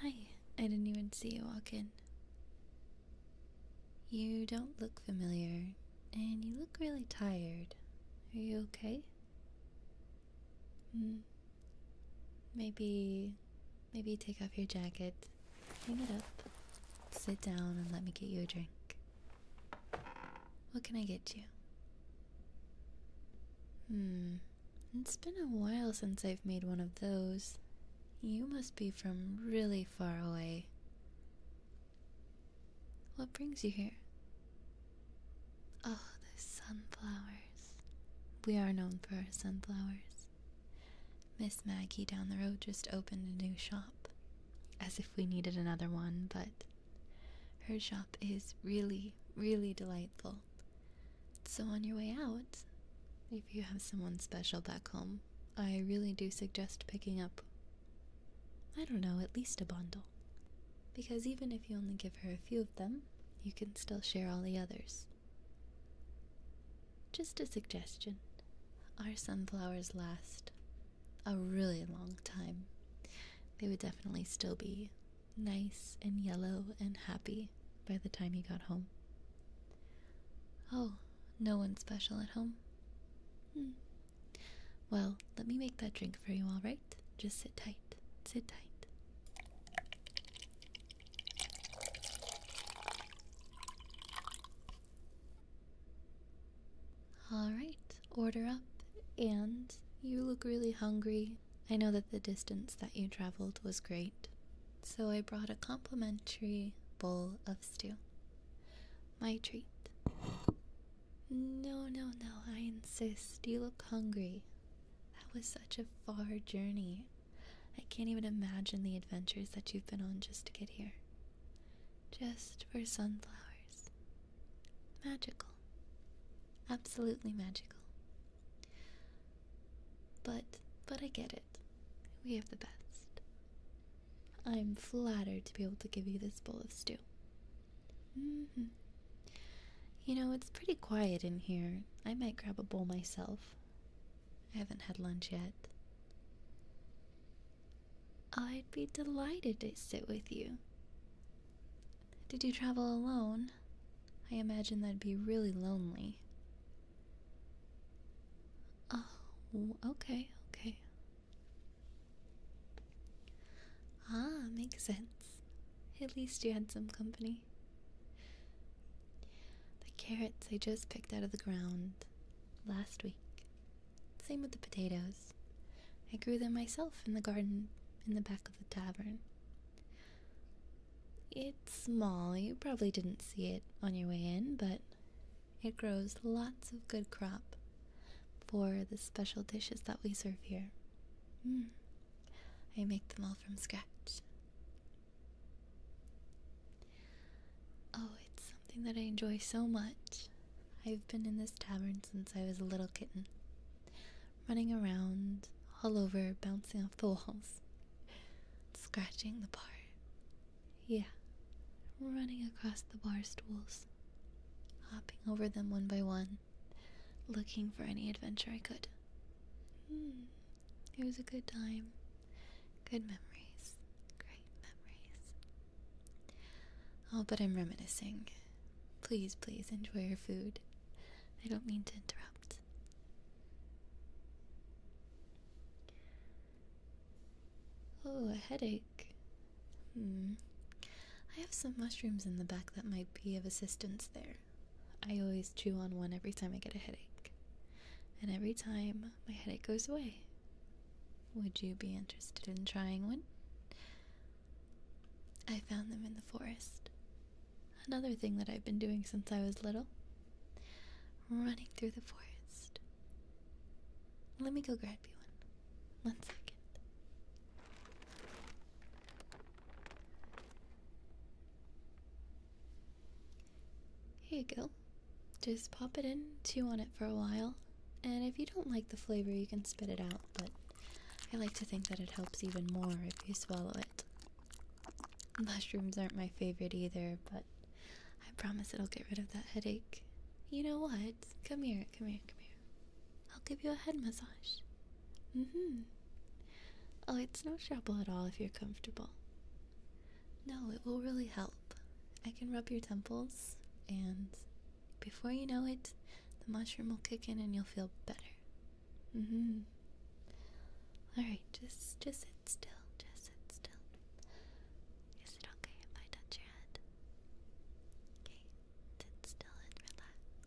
Hi, I didn't even see you walk in. You don't look familiar, and you look really tired. Are you okay? Hmm. Maybe Maybe take off your jacket, hang it up, sit down, and let me get you a drink. What can I get you? Hmm, it's been a while since I've made one of those. You must be from really far away. What brings you here? Oh, the sunflowers. We are known for our sunflowers. Miss Maggie down the road just opened a new shop, as if we needed another one, but her shop is really, really delightful. So, on your way out, if you have someone special back home, I really do suggest picking up, I don't know, at least a bundle. Because even if you only give her a few of them, you can still share all the others. Just a suggestion. Our sunflowers last a really long time. They would definitely still be nice and yellow and happy by the time he got home. Oh, no one special at home? Hmm. Well, let me make that drink for you, alright? Just sit tight. Sit tight. Alright, order up, and you look really hungry. I know that the distance that you traveled was great, so I brought a complimentary bowl of stew. My treat. No, no, no, I insist. You look hungry. That was such a far journey. I can't even imagine the adventures that you've been on just to get here. Just for sunflowers. Magical. Absolutely magical. But, but I get it. We have the best. I'm flattered to be able to give you this bowl of stew. Mm-hmm. You know, it's pretty quiet in here. I might grab a bowl myself. I haven't had lunch yet. I'd be delighted to sit with you. Did you travel alone? I imagine that'd be really lonely. Oh, okay, okay. Ah, makes sense. At least you had some company. The carrots I just picked out of the ground last week. Same with the potatoes. I grew them myself in the garden in the back of the tavern. It's small, you probably didn't see it on your way in, but it grows lots of good crop for the special dishes that we serve here. Hmm. I make them all from scratch. Oh, it's something that I enjoy so much. I've been in this tavern since I was a little kitten, running around all over, bouncing off the walls, scratching the bar. Yeah, running across the bar stools, hopping over them one by one, looking for any adventure I could. Hmm, it was a good time. Good memories. Great memories. Oh, but I'm reminiscing. Please, please enjoy your food. I don't mean to interrupt. Oh, a headache. Hmm. I have some mushrooms in the back that might be of assistance there. I always chew on one every time I get a headache and every time my headache goes away. Would you be interested in trying one? I found them in the forest. Another thing that I've been doing since I was little running through the forest. Let me go grab you one. One second. Here you go. Just pop it in, chew on it for a while, and if you don't like the flavor, you can spit it out, but I like to think that it helps even more if you swallow it. Mushrooms aren't my favorite either, but I promise it'll get rid of that headache. You know what? Come here, come here, come here. I'll give you a head massage. Mm hmm. Oh, it's no trouble at all if you're comfortable. No, it will really help. I can rub your temples, and before you know it, the mushroom will kick in and you'll feel better. Mm hmm. Alright, just, just sit still. Just sit still. Is it okay if I touch your head? Okay, sit still and relax.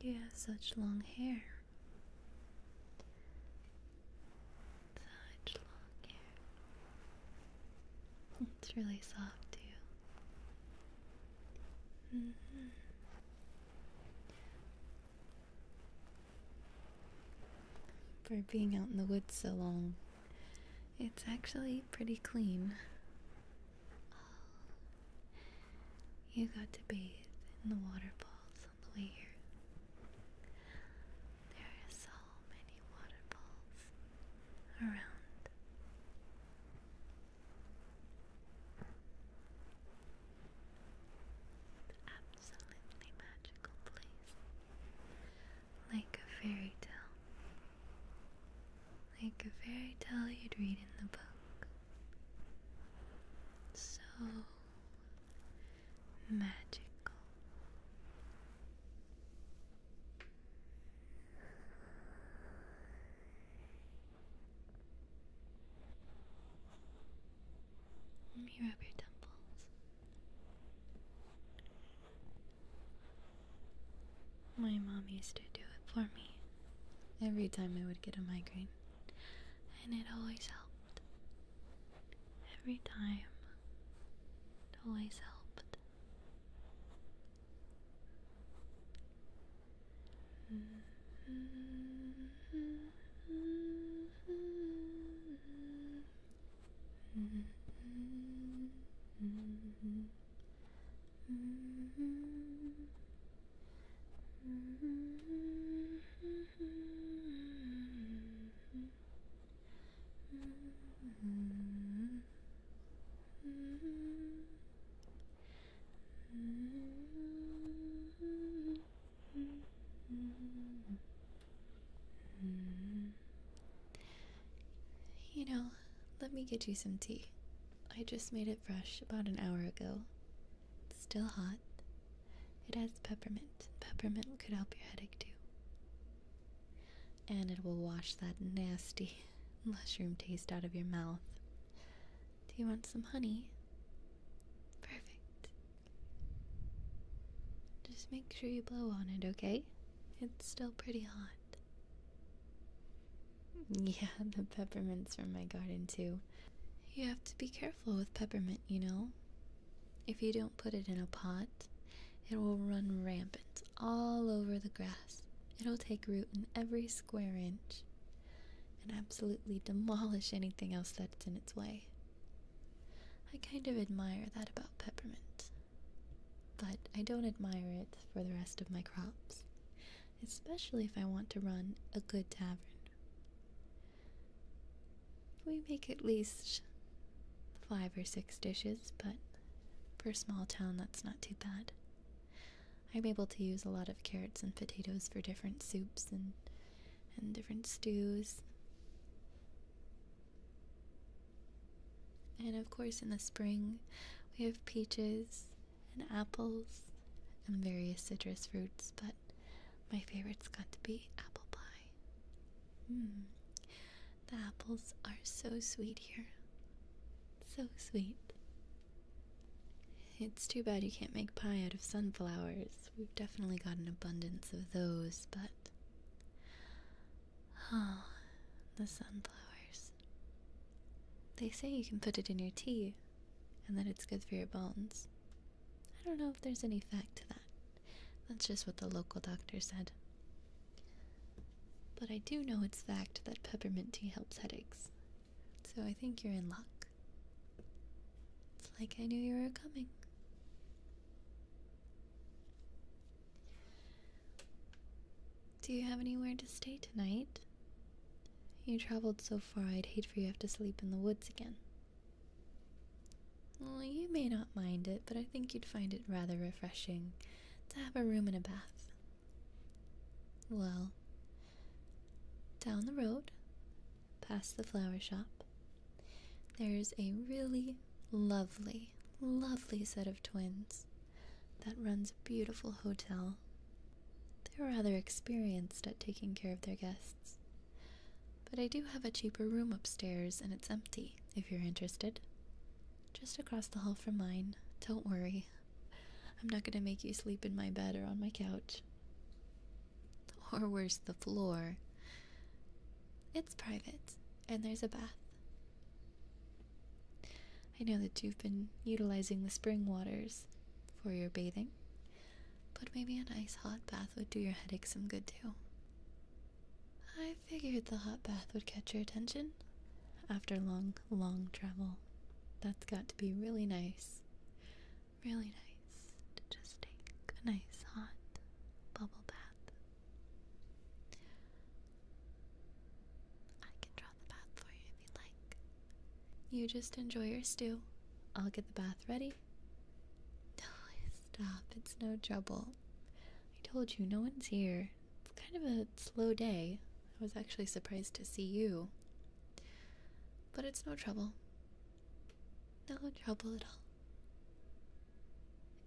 You have such long hair. Such long hair. It's really soft too. Mm-hmm. For being out in the woods so long, it's actually pretty clean. you got to bathe in the waterfalls on the way here. There are so many waterfalls around. absolutely magical place. Like a fairy tale. Like a fairy tale you'd read in the book. So magical. Let me rub your temples. My mom used to do it for me every time I would get a migraine and it always helped. Every time, it always helped. Mm-hmm. Mm-hmm. Mm-hmm. You know, let me get you some tea. I just made it fresh about an hour ago. Still hot. It has peppermint. Peppermint could help your headache too. And it will wash that nasty mushroom taste out of your mouth. Do you want some honey? Perfect. Just make sure you blow on it, okay? It's still pretty hot. Yeah, the peppermints from my garden, too. You have to be careful careful with peppermint, you know. If you don't put it in a pot, it will run rampant all over the grass. It'll take root in every square inch and absolutely demolish anything else that's in its way. I kind of admire that about peppermint, but I don't admire it for the rest of my crops, especially if I want to run a good tavern we make at least five or six dishes, but for a small town that's not too bad. I'm able to use a lot of carrots and potatoes for different soups and and different stews. And of course in the spring we have peaches and apples and various citrus fruits, but my favorite's got to be apple pie. Hmm. The apples are so sweet here. So sweet. It's too bad you can't make pie out of sunflowers. We've definitely got an abundance of those, but. Oh, the sunflowers. They say you can put it in your tea and that it's good for your bones. I don't know if there's any fact to that. That's just what the local doctor said. But I do know it's fact that peppermint tea helps headaches. So I think you're in luck. It's like I knew you were coming. Do you have anywhere to stay tonight? You traveled so far, I'd hate for you to have to sleep in the woods again. Well, you may not mind it, but I think you'd find it rather refreshing to have a room and a bath. Well, down the road, past the flower shop, there's a really lovely, lovely set of twins that runs a beautiful hotel. They're rather experienced at taking care of their guests. But I do have a cheaper room upstairs, and it's empty, if you're interested. Just across the hall from mine. Don't worry. I'm not gonna make you sleep in my bed or on my couch. Or worse, the floor. It's private, and there's a bath. I know that you've been utilizing the spring waters for your bathing. But maybe a nice hot bath would do your headache some good too. I figured the hot bath would catch your attention after long, long travel. That's got to be really nice. Really nice to just take a nice hot bubble bath. I can draw the bath for you if you like. You just enjoy your stew. I'll get the bath ready okay? Stop, it's no trouble. I told you, no one's here. It's kind of a slow day. I was actually surprised to see you. But it's no trouble. No trouble at all.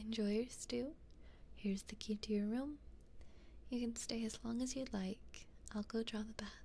Enjoy your stew. Here's the key to your room. You can stay as long as you'd like. I'll go draw the bath.